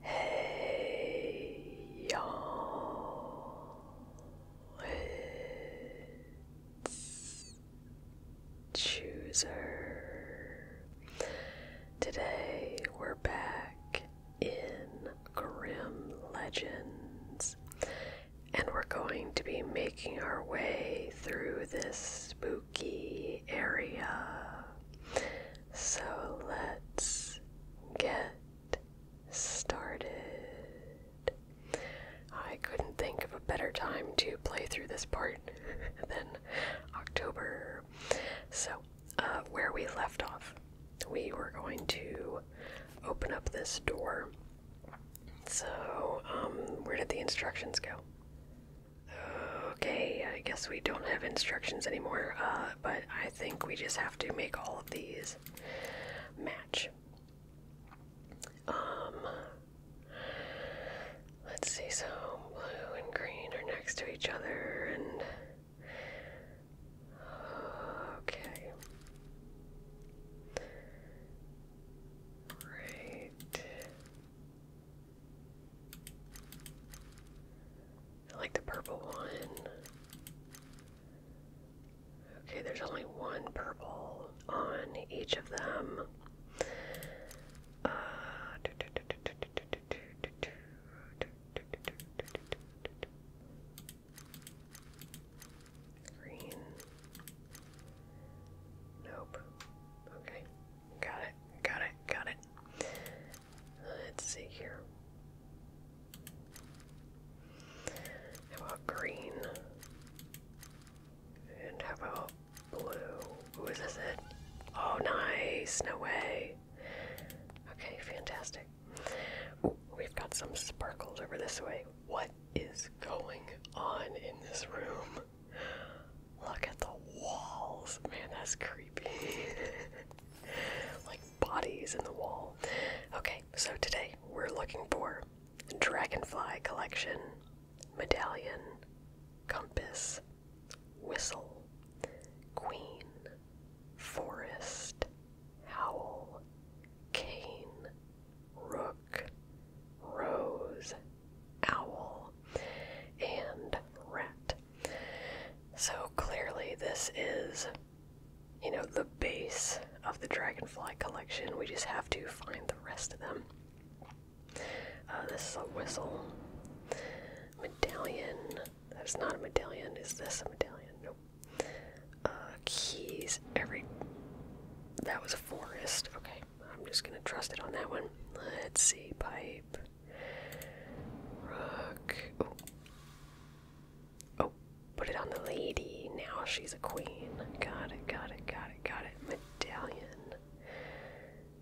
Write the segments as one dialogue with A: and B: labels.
A: Hey you Chooser. Today we're back in Grim Legends, and we're going to be making our way through this spooky area. So let's get started. I couldn't think of a better time to play through this part than October. So, uh, where we left off, we were going to open up this door. So, um, where did the instructions go? Okay, I guess we don't have instructions anymore. Uh, but I think we just have to make all of these match. Um, let's see, so blue and green are next to each other, and okay, right. I like the purple one. Okay, there's only one purple on each of them. Uh, green. Nope. Okay. Got it. Got it. Got it. Let's see here. How about green? And how about blue? is this it? Oh, nice! No way! Okay, fantastic. we've got some sparkles over this way. What is going on in this room? Look at the walls. Man, that's creepy. like bodies in the wall. Okay, so today we're looking for dragonfly collection, medallion, compass, whistle, queen, forest, howl, cane, rook, rose, owl, and rat. So clearly, this is, you know, the base of the Dragonfly collection. We just have to find the rest of them. Uh, this is a whistle. Medallion. That's not a medallion. Is this a medallion? Nope. Uh, keys. Every. That was a forest. Okay. I'm just gonna trust it on that one. Let's see. Pipe. Rook. Oh. oh. put it on the lady. Now she's a queen. Got it, got it, got it, got it. Medallion.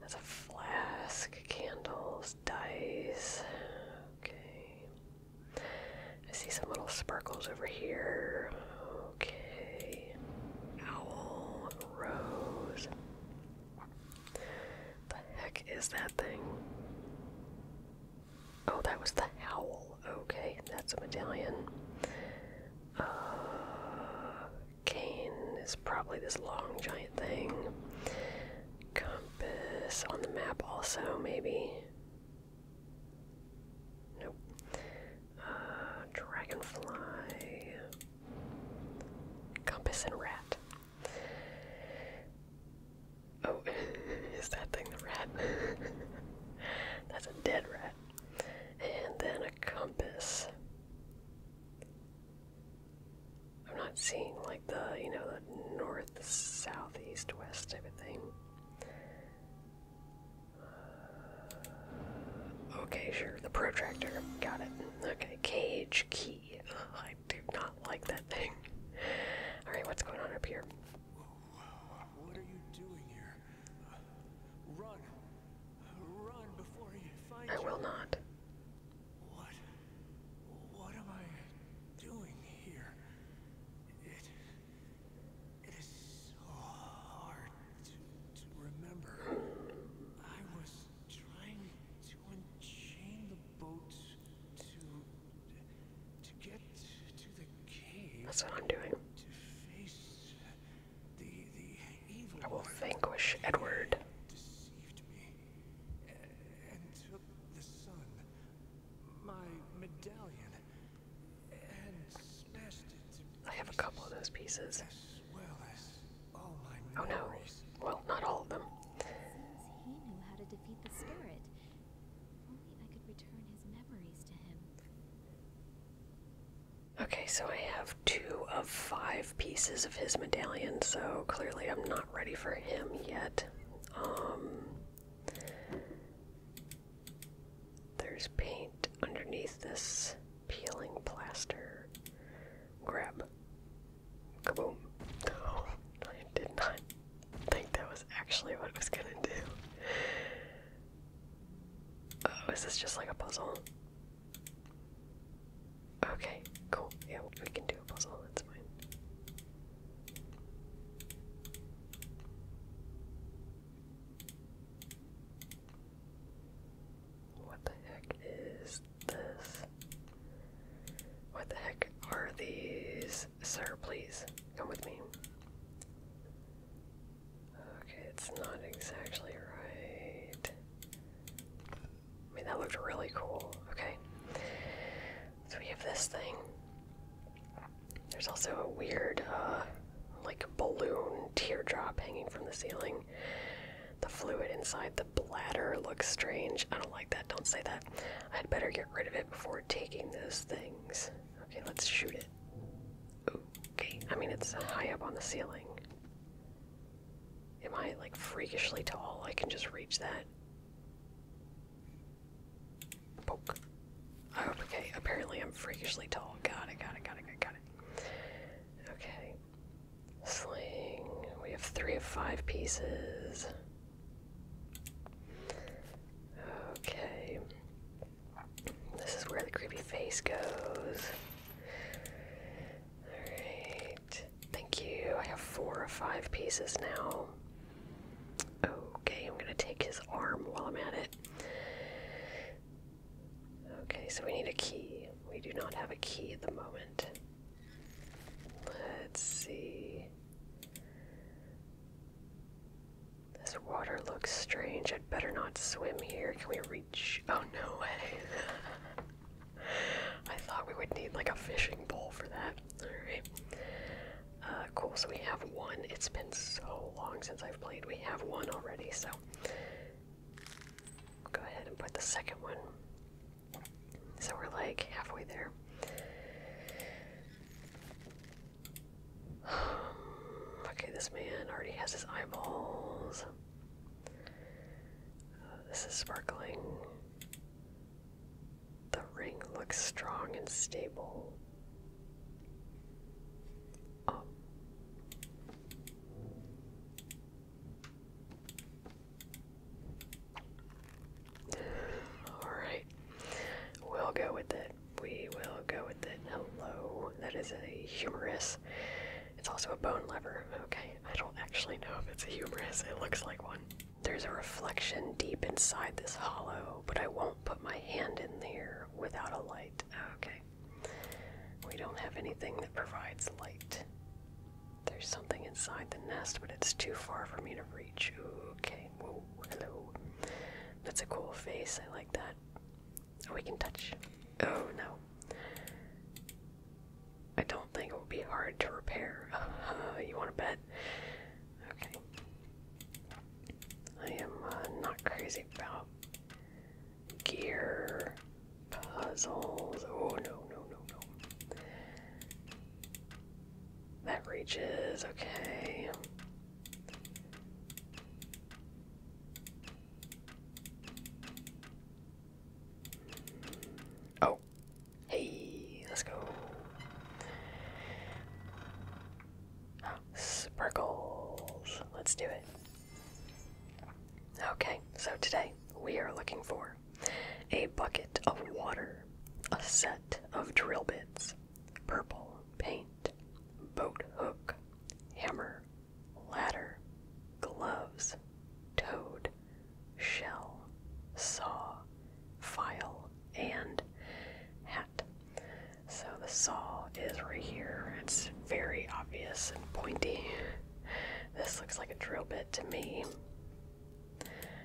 A: That's a flask. Candles, dice. Okay. I see some little sparkles over here. Okay. Owl, rose. The heck is that thing? Oh, that was the Howl. Okay, that's a medallion. Uh, is probably this long giant thing. Compass on the map, also, maybe. Nope. Uh, dragonfly. Compass and rat. Oh, is that thing the rat? That's a dead rat. And then a compass. I'm not seeing like the, you know, the north, south, east, west type of thing. Uh, okay, sure. The protractor. Got it. Okay, cage, key. I do not like that thing. All right, what's going on up here? What are you doing here?
B: Run, run before he
A: finds I will not.
B: What? What am I doing here? It. It is so hard to, remember. I was trying to. That's what I'm doing. To face the, evil I will vanquish Edward. Deceived me eh, and took the sun, my medallion, and I have a couple of
A: those pieces.
B: Oh no.
A: Well, not all of them. Okay, so I have two of five pieces of his medallion, so clearly I'm not ready for him yet. Um there's paint underneath this peeling plaster. Grab. Kaboom. No, I did not think that was actually what it was gonna do. Oh, is this just like a puzzle? Okay, cool. Yeah, we can do a puzzle, that's fine. What the heck is this? What the heck are these? Sir, please, come with me. Okay, it's not exactly right. I mean, that looked really cool. Okay. So we have this thing. There's also a weird, uh, like, balloon teardrop hanging from the ceiling. The fluid inside the bladder looks strange. I don't like that. Don't say that. I'd better get rid of it before taking those things. Okay, let's shoot it. Okay, I mean, it's high up on the ceiling. Am I like freakishly tall? I can just reach that. Poke. Oh, okay, apparently I'm freakishly tall. Got it, got it, got it, got it. Okay. Sling. We have three of five pieces. Okay. This is where the creepy face goes. Alright. Thank you. I have four or five pieces now. Okay, I'm gonna take his arm while I'm at it. Okay, so we need a key. We do not have a key at the moment. Let's see. This water looks strange. I'd better not swim here. Can we reach? Oh, no way. I thought we would need like a fishing pole for that. Alright. Uh, cool, so we have one. It's been so long since I've played. We have one already, so go ahead and put the second one. So we're like halfway there. okay, this man already has his eyeballs. Uh, this is sparkling. The ring looks strong and stable. Oh. Alright. We'll go with it. We will go with it. Hello. That is a humerus. It's also a bone lever. Okay. I don't actually know if it's a humerus. It looks like one. There's a reflection deep inside this hollow, but I won't put my hand in there without a light. Okay. We don't have anything that provides light. There's something inside the nest, but it's too far for me to reach. Okay, hello. That's a cool face, I like that. Oh, we can touch. Oh no. I don't think it will be hard to repair. Uh-huh, you want a bed? Okay. I am uh, not crazy about gear puzzles. Oh no, no, no, no. That reaches, okay. Oh, hey, let's go. Sprinkles. Let's do it. Okay, so today we are looking for a bucket of water, a set of drill bits, purple paint, boat hook, hammer, ladder, gloves, toad, shell, saw, file, and hat. So the saw is right here. It's very obvious and pointy. This looks like a drill bit to me.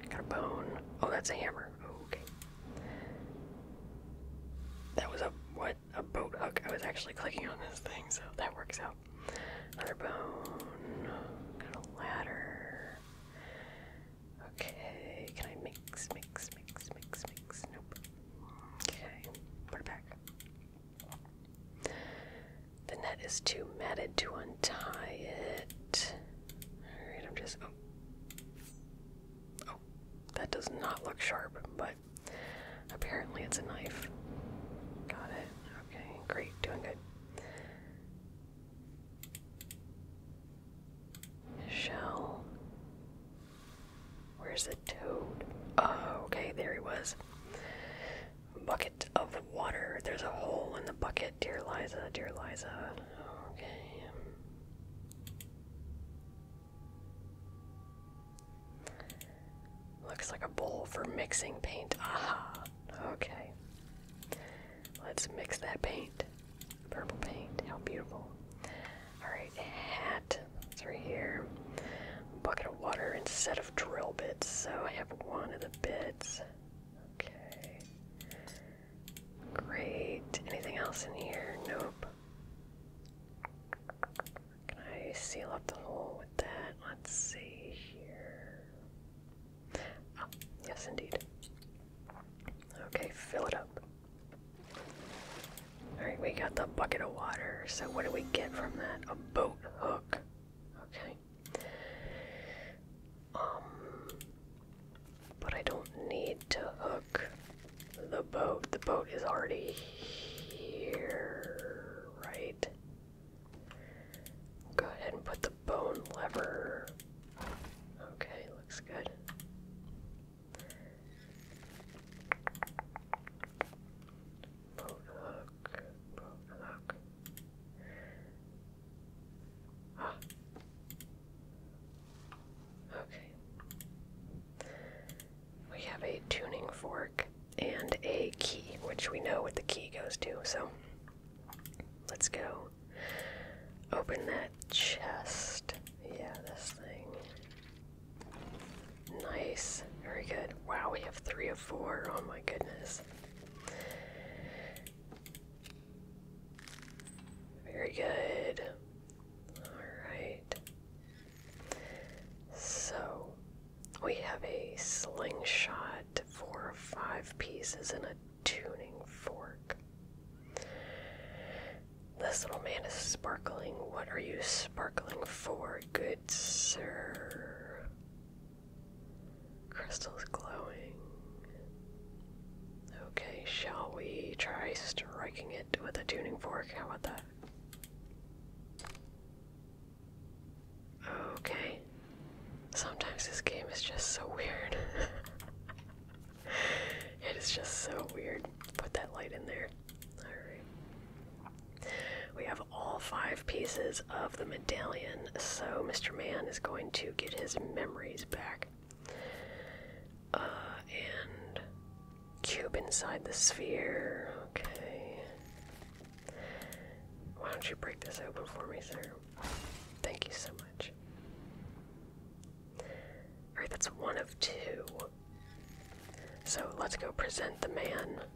A: Got a bone. Oh, that's a hammer. Oh, okay. That was a what? A boat hook. I was actually clicking on this thing, so that works out. Another bone. Got a ladder. Okay. Can I mix, mix, mix, mix, mix? Nope. Okay. Put it back. The net is too matted to untie it. Alright, I'm just. Oh. oh. that does not look sharp, but apparently it's a knife. Got it. Okay, great, doing good. Shell. Where's the toad? Oh, okay, there he was. Bucket of water. There's a hole in the bucket. Dear Liza, dear Liza. Okay. Looks like a bowl for mixing paint. Aha. Okay. Let's mix that paint. Purple paint. How beautiful. Alright, hat. It's right here bucket of water instead of drill bits, so I have one of the bits. Okay. Great. Anything else in here? Nope. Can I seal up the hole with that? Let's see here. Oh, yes, indeed. Okay, fill it up. Alright, we got the bucket of water. So, what do we get from that? A boat hook. Okay. Um but I don't need to hook the boat. The boat is already here, right? Go ahead and put the bone lever. Okay, looks good look, Ah. Okay. We have a tuning fork and a key, which we know what the key goes to, so let's go open that chest. Yeah, this thing. Nice. Very good. Wow, we have three of four. Oh my goodness. Very good. Alright. So, we have a slingshot, four or five pieces, and a tuning fork. This little man is sparkling. What are you sparkling for? Good Blitzer. Crystal's glowing. Okay, shall we try striking it with a tuning fork? How about that? Okay. Sometimes this game is just so weird. it is just so weird. Put that light in there. Alright. We have all five pieces of the medallion, so Mr. Man is going to get his memories back. Uh, and cube inside the sphere. Okay. Why don't you break this open for me, sir? Thank you so much. Alright, that's one of two. So let's go present the man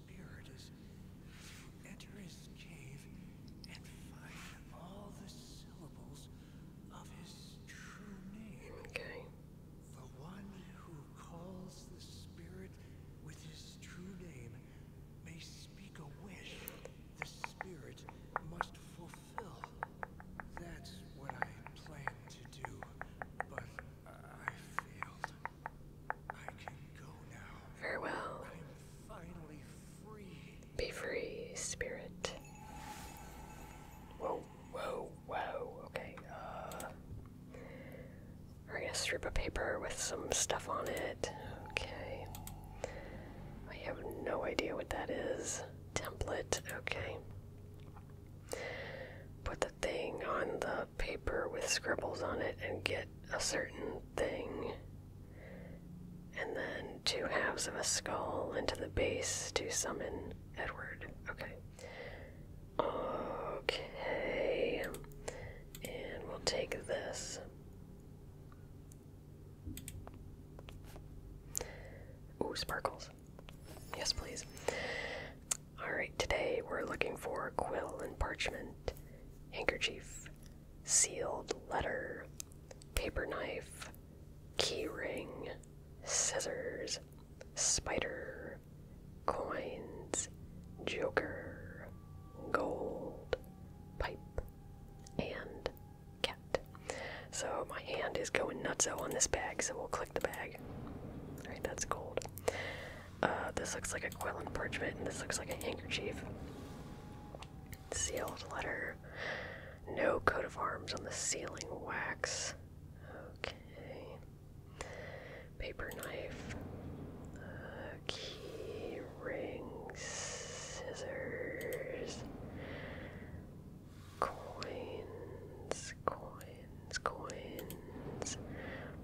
B: spirit is to enter his cave and find all the syllables of his true name. The one who calls the spirit with his true name may speak a wish the spirit must fulfill. That's what I planned to do, but I
A: failed. I can go now. Farewell. I'm finally free. Be free, spirit. Whoa, whoa, whoa. Okay, uh. We're gonna strip a paper with some stuff on it. Okay. I have no idea what that is. Template, okay. Put the thing on the paper with scribbles on it and get a certain thing. And then two halves of a skull into the base to summon Edward. Okay. Okay. And we'll take this. Oh, sparkles. Yes, please. Alright, today we're looking for quill and parchment handkerchief, sealed letter, paper knife, keyring, scissors, spider, coins, joker, gold, pipe, and cat. So my hand is going nuts out on this bag, so we'll click the bag. Alright, that's gold. Uh, this looks like a quill and parchment, and this looks like a handkerchief. Sealed letter. No coat of arms on the sealing wax. Okay. Paper knife. Uh, key, ring, scissors. Coins, coins, coins.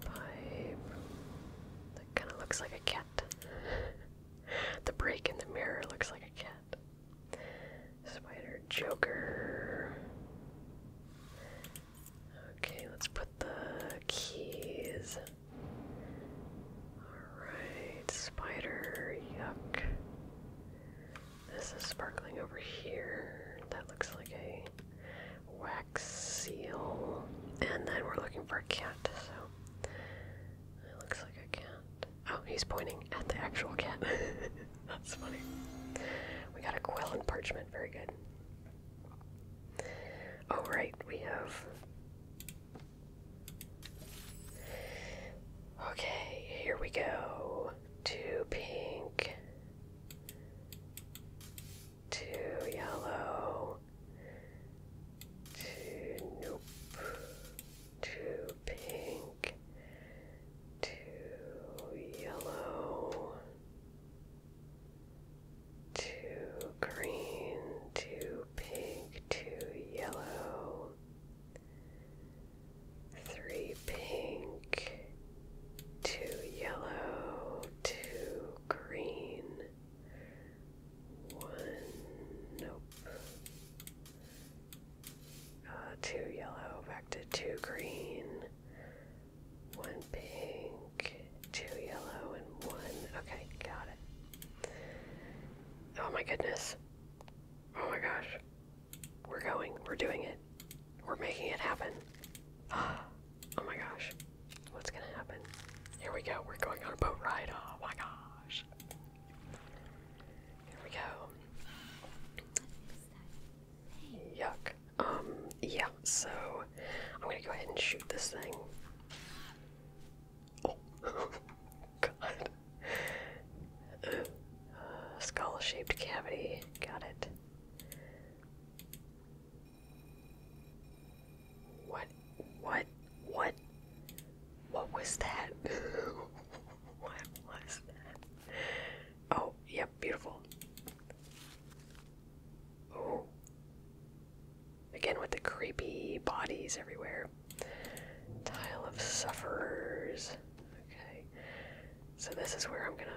A: Pipe kind of looks like a cat. the break in the mirror looks like a cat. Spider Joker. Okay, let's put the keys. Alright, spider, yuck. This is sparkling over here. That looks like a wow seal, and then we're looking for a cat. So it looks like a cat. Oh, he's pointing at the actual cat. That's funny. We got a quill and parchment. Very good. Oh right, we have. Okay, here we go. Two pink two yellow, two nope, two pink, two yellow, two green, two pink, two yellow, three pink, two yellow, two green, one, nope, uh, two yellow, back to two green, one pink, two yellow, and one. Okay, got it. Oh my goodness. Oh my gosh. We're going. We're doing it. We're making it happen. Ah. Oh my gosh. What's gonna happen? Here we go. We're going on a boat ride. Oh my gosh. Here we go. Yuck. Um, yeah, so I'm gonna go ahead and shoot this thing. Oh, God. Uh, skull shaped cavity. Got it. What? What? What? What was that? what was that? Oh, yep, yeah, beautiful. Oh. Again with the creepy bodies everywhere. Tile of Sufferers. Okay. So this is where I'm gonna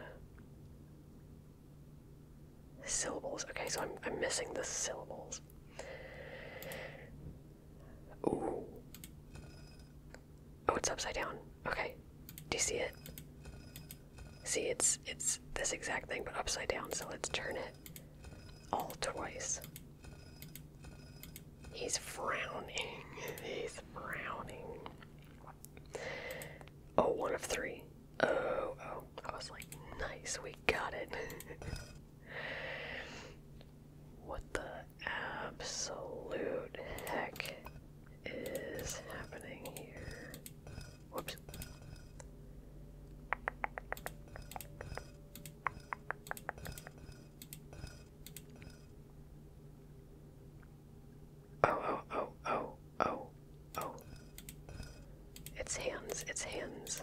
A: Syllables. Okay, so I'm, I'm missing the syllables. Ooh. Oh, it's upside down. Okay. Do you see it? See, it's it's this exact thing, but upside down. So let's turn it all twice. He's frowning. He's frowning. Oh, one of three. Oh, oh. I was like, nice, we got it. what the absolute heck is happening here? Whoops. Oh, oh, oh, oh, oh, oh. It's hands, it's hands.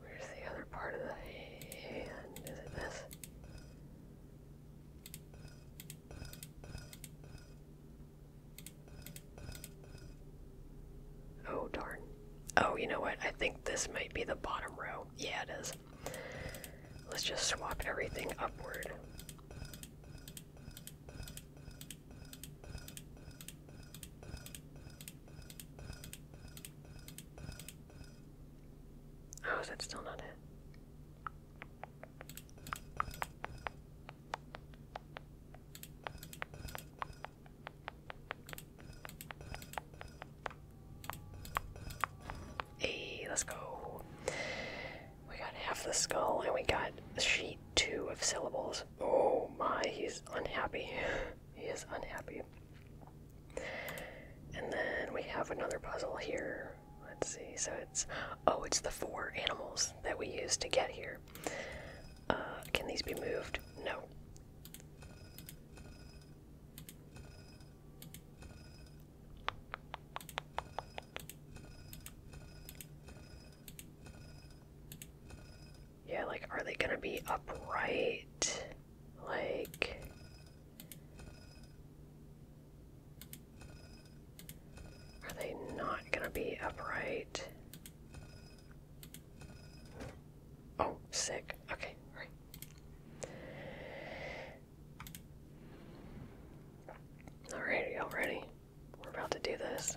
A: Where's the other part of the hand? Is it this? Oh, darn. Oh, you know what? I think this might be the bottom row. Yeah, it is. Let's just swap everything upward. Oh, is that still not it? Hey, let's go. We got half the skull, and we got sheet two of syllables. Oh my, he's unhappy. he is unhappy. And then we have another puzzle here. Let's see. So it's oh, it's the four animals that we used to get here. Uh, can these be moved? No. Yeah, like, are they gonna be upright? Like. Are they not gonna be upright? Oh, sick. Okay, all right. All all already. We're about to do this.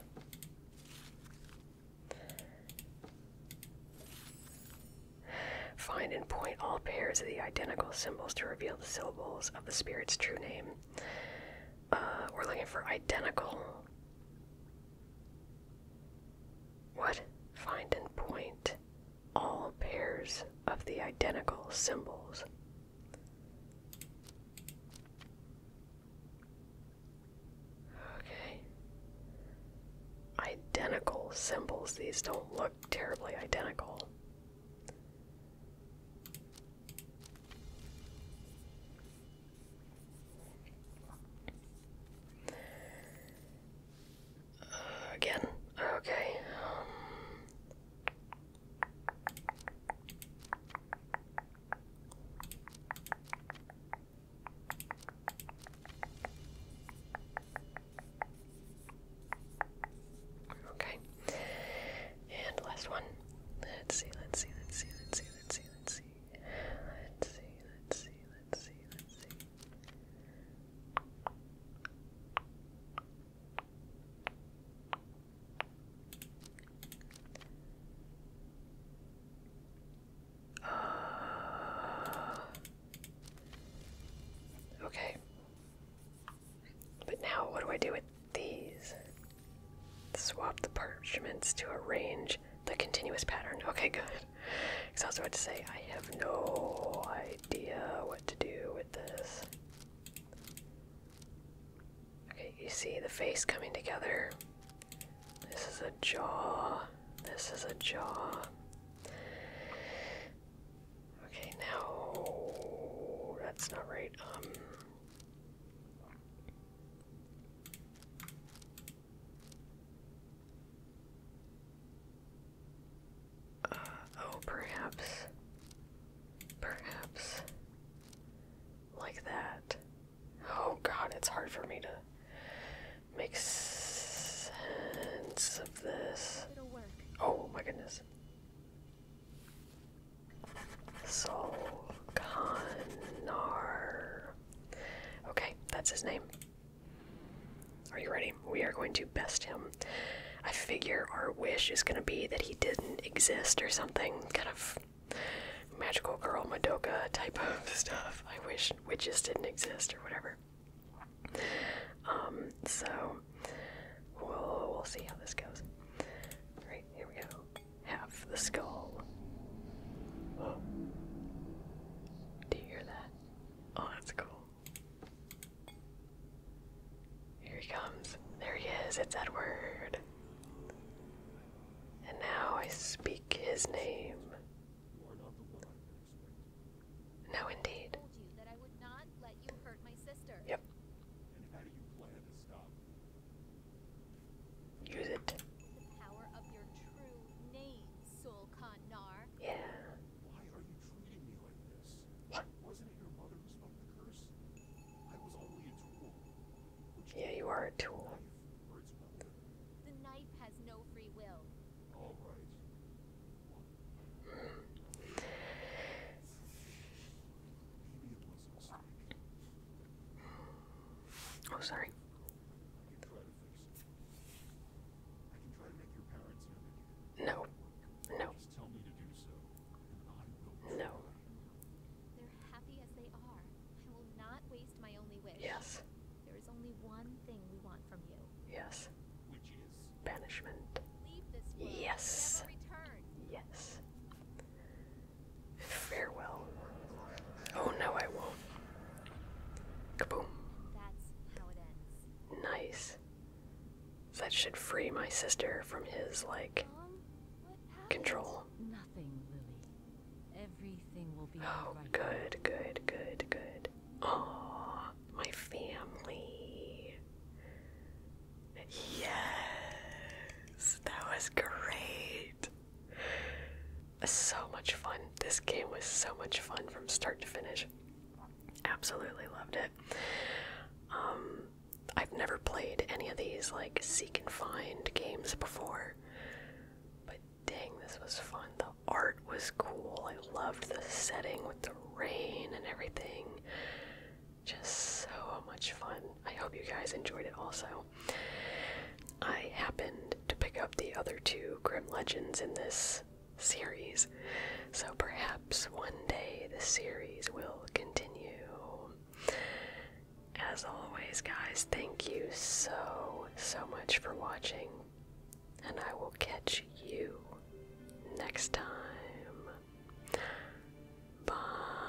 A: Find and point all pairs of the identical symbols to reveal the syllables of the spirit's true name. Uh, we're looking for identical. What? Find and point all pairs of the identical symbols. Okay. Identical symbols. These don't look terribly identical. Uh, again. Okay. Um. Okay. And last one. Let's see, let's see, let's see, let's see, let's see, let's see. Let's see, let's see, let's see, let's see. Uh, okay. But now, what do I do with these? Swap the parchments to arrange the continuous pattern. Okay, good. Because I was about to say, I have no idea what to do with this. Okay, you see the face coming together. This is a jaw. This is a jaw. Okay, now that's not right. Um, uh, oh, perhaps. Perhaps. Like that. Oh god, it's hard for me to make sense of this. Oh my goodness. Solkanar. Okay, that's his name. Are you ready? We are going to best him. I figure our wish is going to be that he didn't exist or something. Kind of magical girl Madoka type of stuff. I wish witches didn't exist or whatever. Um, so we'll, we'll see how this goes. Alright, here we go. Half the skull. Do you hear that? Oh, that's cool. Here he comes. There he is. It's Edward. And now I speak his name.
B: No, indeed. Yep. Use it. Yeah. Why are you treating me like this? Wasn't it your mother who spoke the curse? I was only a tool. yeah, you are a tool. Oh, sorry. No. No. No. They're happy as they are. I will not waste my only wish. Yes. There is only one thing we want from you. Yes.
A: Which is banishment.
B: Leave this world. Yes.
A: Yes. Farewell. Oh no, I won't. Kaboom. That's how it ends. Nice that should free my sister from his like control. Nothing, Lily. Everything will be Oh, right. good, good, good, good. Oh, my family. Yes, that was great. So much fun. This game was so much fun from start to finish. Absolutely loved it. Um, I've never played any of these like seek and find games before, but dang, this was fun. The art was cool. I loved the setting with the rain and everything. Just so much fun. I hope you guys enjoyed it also. I happened to pick up the other two Grim Legends in this series. So perhaps one day the series will continue. As always, guys, thank you so, so much for watching, and I will catch you next time. Bye.